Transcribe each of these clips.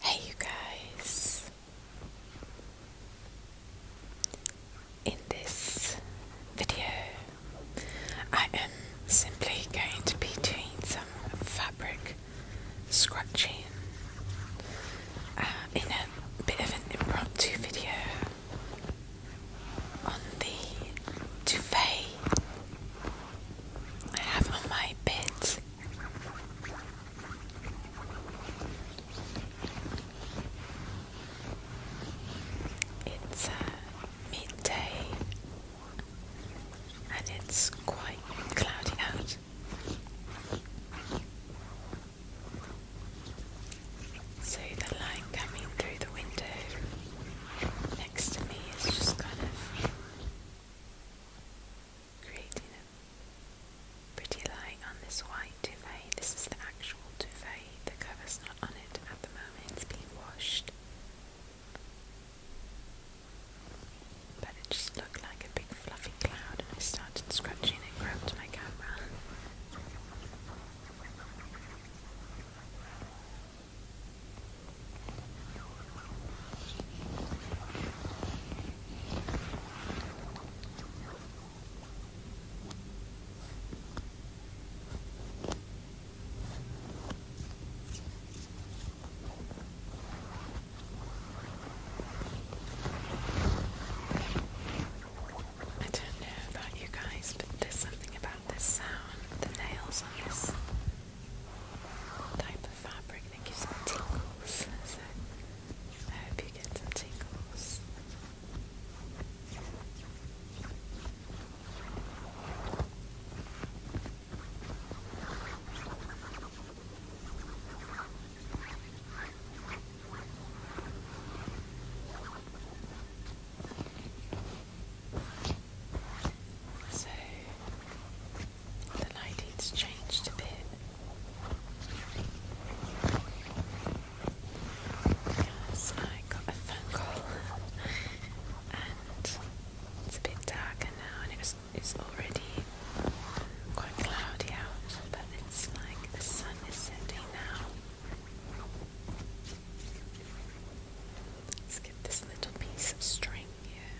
Hey, you guys! In this video, I am simply going to be doing some fabric scratching uh, in a bit of an impromptu video on the duvet I have on my bed. It's uh, midday and it's quite cloudy out. So the light coming through the window next to me is just kind of creating a pretty light on this white duvet. This is the actual duvet, the cover's not on it at the moment, it's being washed. But it just looked like a big fluffy cloud, and I started scratching and grabbed my camera. I don't know about you guys, but there's something about the sound of the nails on this type of fabric that gives me tingles. So I hope you get some tingles. So the lighting's changed a bit. I got a phone call and it's a bit darker now and it was, it's already quite cloudy out but it's like the sun is setting now. Let's get this little piece of string here.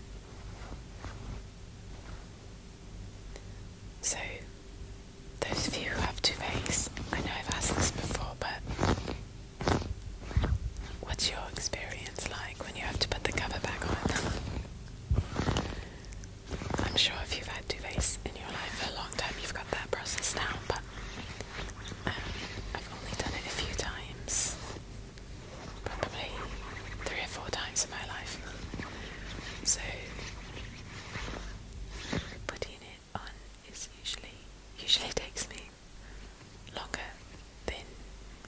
So, those of you who have two I know I've asked this before, but what's your experience like when you have to put the cover back on? I'm sure if you've had duvets in your life for a long time, you've got that process down, but I've only done it a few times, probably three or four times in my life. So putting it on is usually usually takes me longer than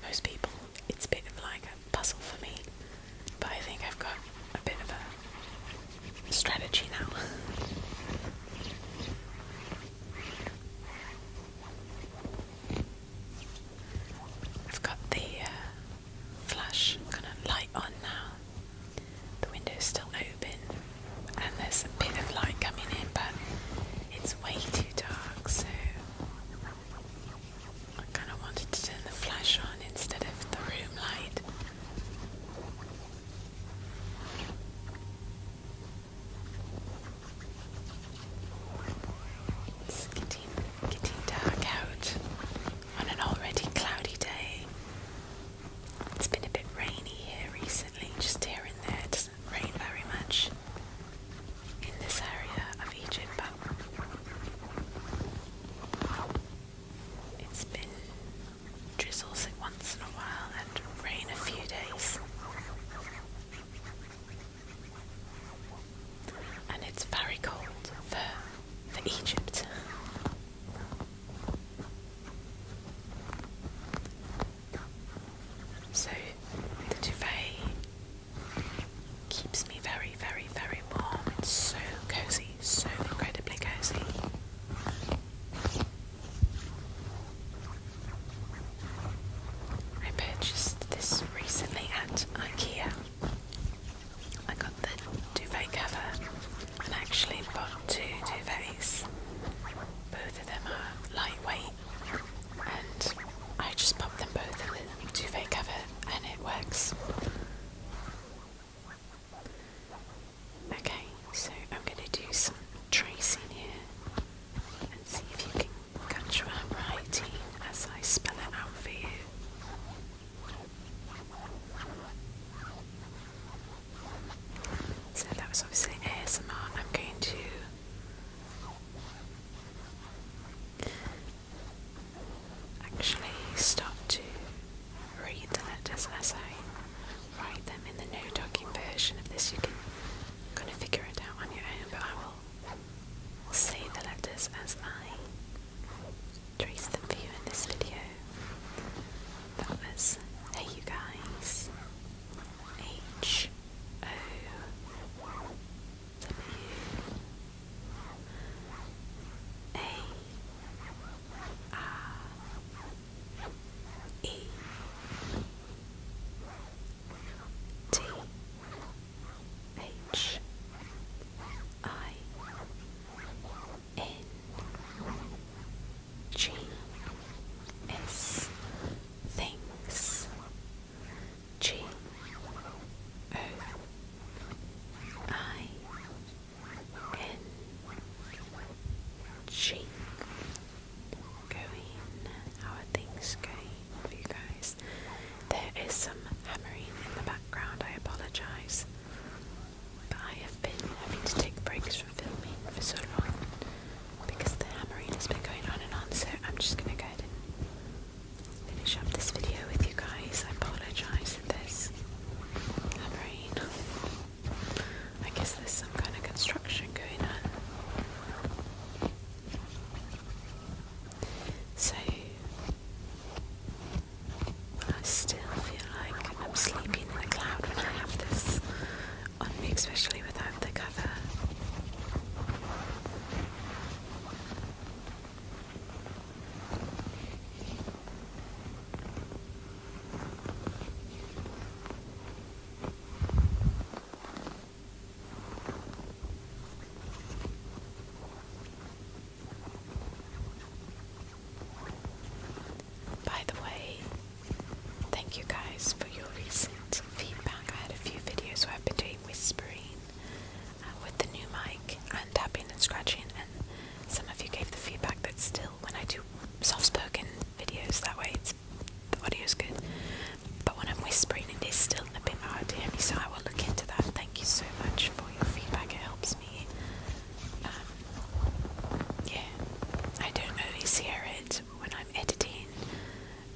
most people. It's a bit of like a puzzle for me, but I think I've got a bit of a strategy now. I've got the uh, flash kind of light on now. The window's still open, and there's a bit of light coming in, but it's way too dark, so I kind of wanted to turn the flash on instead of the room light. It's getting, getting dark out on an already cloudy day. It's been a bit rainy here recently, just here and there. It doesn't rain very much in this area of Egypt, but it's been drizzles it once in a while and rain a few days. And it's very cold for, for Egypt. So the duvet keeps me very, very, very warm. It's so cozy, so incredibly cozy. I purchased this recently at IKEA. I got the duvet cover and actually bought two duvets. Both of them are lightweight and I just popped them both in the duvet cover and it works. Okay, so I'm going to do some tracing here and see if you can catch what writing as I spell it out for you. So that was obviously ASMR. I'm going to actually start to read the letters as I write them in the no docking version of this. You can kind of figure it out on your own, but I will save the letters as I trace them for you in this video. That was Hey You Guys H O W A R E T H I N G S Things G O I N Ching. Going. How are things going for you guys? There is some hammering in the background, I apologise. But I have been having to take breaks from filming for so long because the hammering has been going on and on, so I'm just gonna go and finish up this video with you guys. I apologise for this hammering. I guess there's some kind of construction going on. So, I still feel like I'm sleeping in the cloud when I have this on me, especially without the cover. By the way, thank you guys for your recent feedback. I had a few videos where I've been doing whispering uh, with the new mic and tapping and scratching, and some of you gave the feedback that still when I do soft spoken videos that way it's the audio's good. But when I'm whispering it is still a bit hard to hear me, so I will look into that. Thank you so much for your feedback, it helps me. Um, yeah. I don't always hear it when I'm editing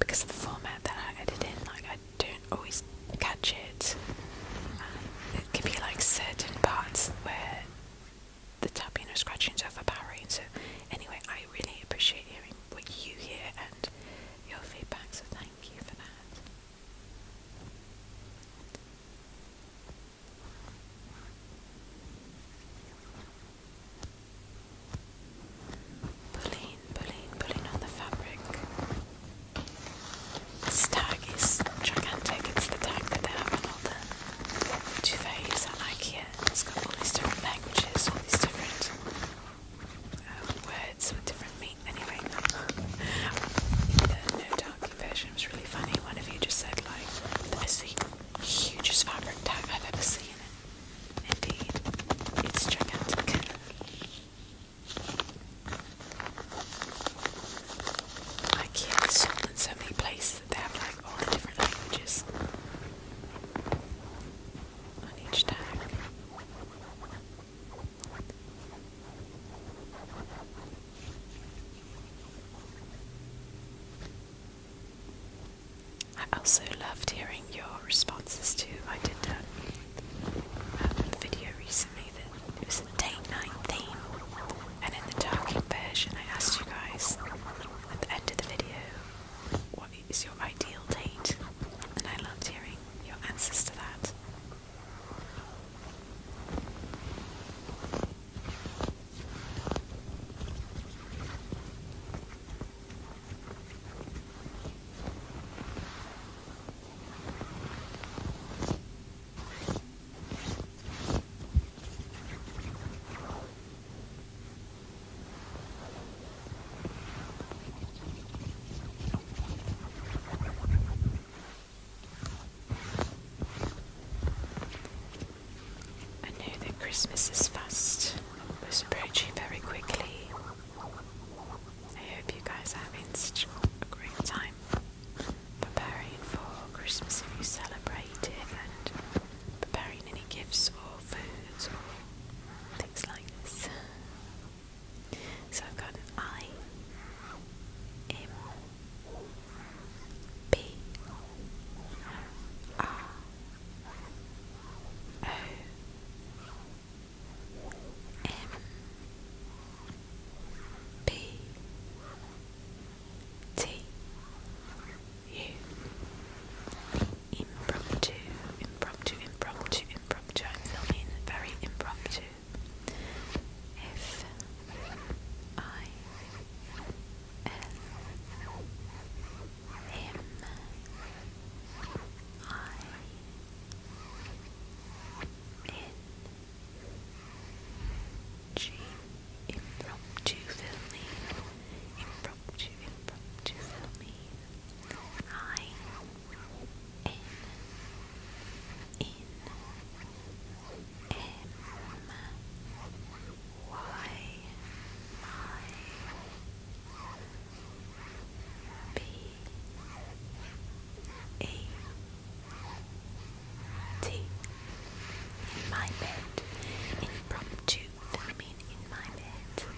because of the format that I edit in, like I don't always catch it. Um, it can be like certain parts where the tapping or scratching is overpowering. So, Anyway, I really appreciate hearing what you hear and your feedback, so thank you for that. Pulling, pulling, pulling on the fabric. This is gigantic, it's the tag that they have on all the duvets at Ikea. It's got all these different languages, all these different um, words with different meanings. the no darky version was really funny. One of you just said like, that is the hugest fabric tag I've ever seen. Indeed, it's gigantic. Ikea sold in so many places that they have all the different languages on each tag. I also loved hearing your responses to. I did a, um, video recently that it was a date night theme and in the talking version, I asked you guys at the end of the video, what is your ideal date? And I loved hearing your answers to that. I know that Christmas is fast, was approaching very quickly. I hope you guys are having a great time preparing for Christmas if you celebrate it, and preparing any gifts or foods or things like this. So I've got I, M, P, R, O, M, P, T U Impromptu, impromptu, impromptu, impromptu. I'm filming very impromptu. F I L M I N G. Impromptu filming. Impromptu, impromptu filming. I. N. In. M. Y. My. T. In my bed. Impromptu filming in my bed.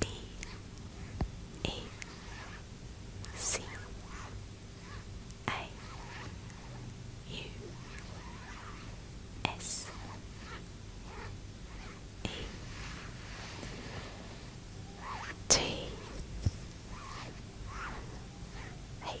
D. E. C. A. U. S. E. T. H.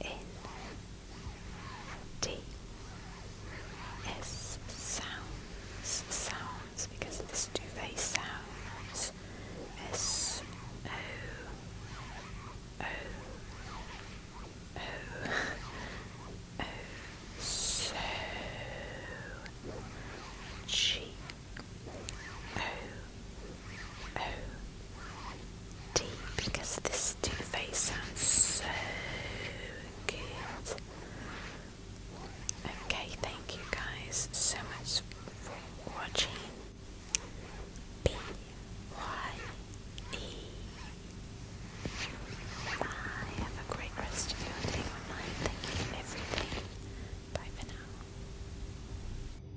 N D S sounds sounds because this duvet sounds S O O O O O D because this Too Faced sounds so good. Okay, thank you guys so much for watching. B Y E. Bye. Have a great rest of your day Thank you for everything. Bye for now.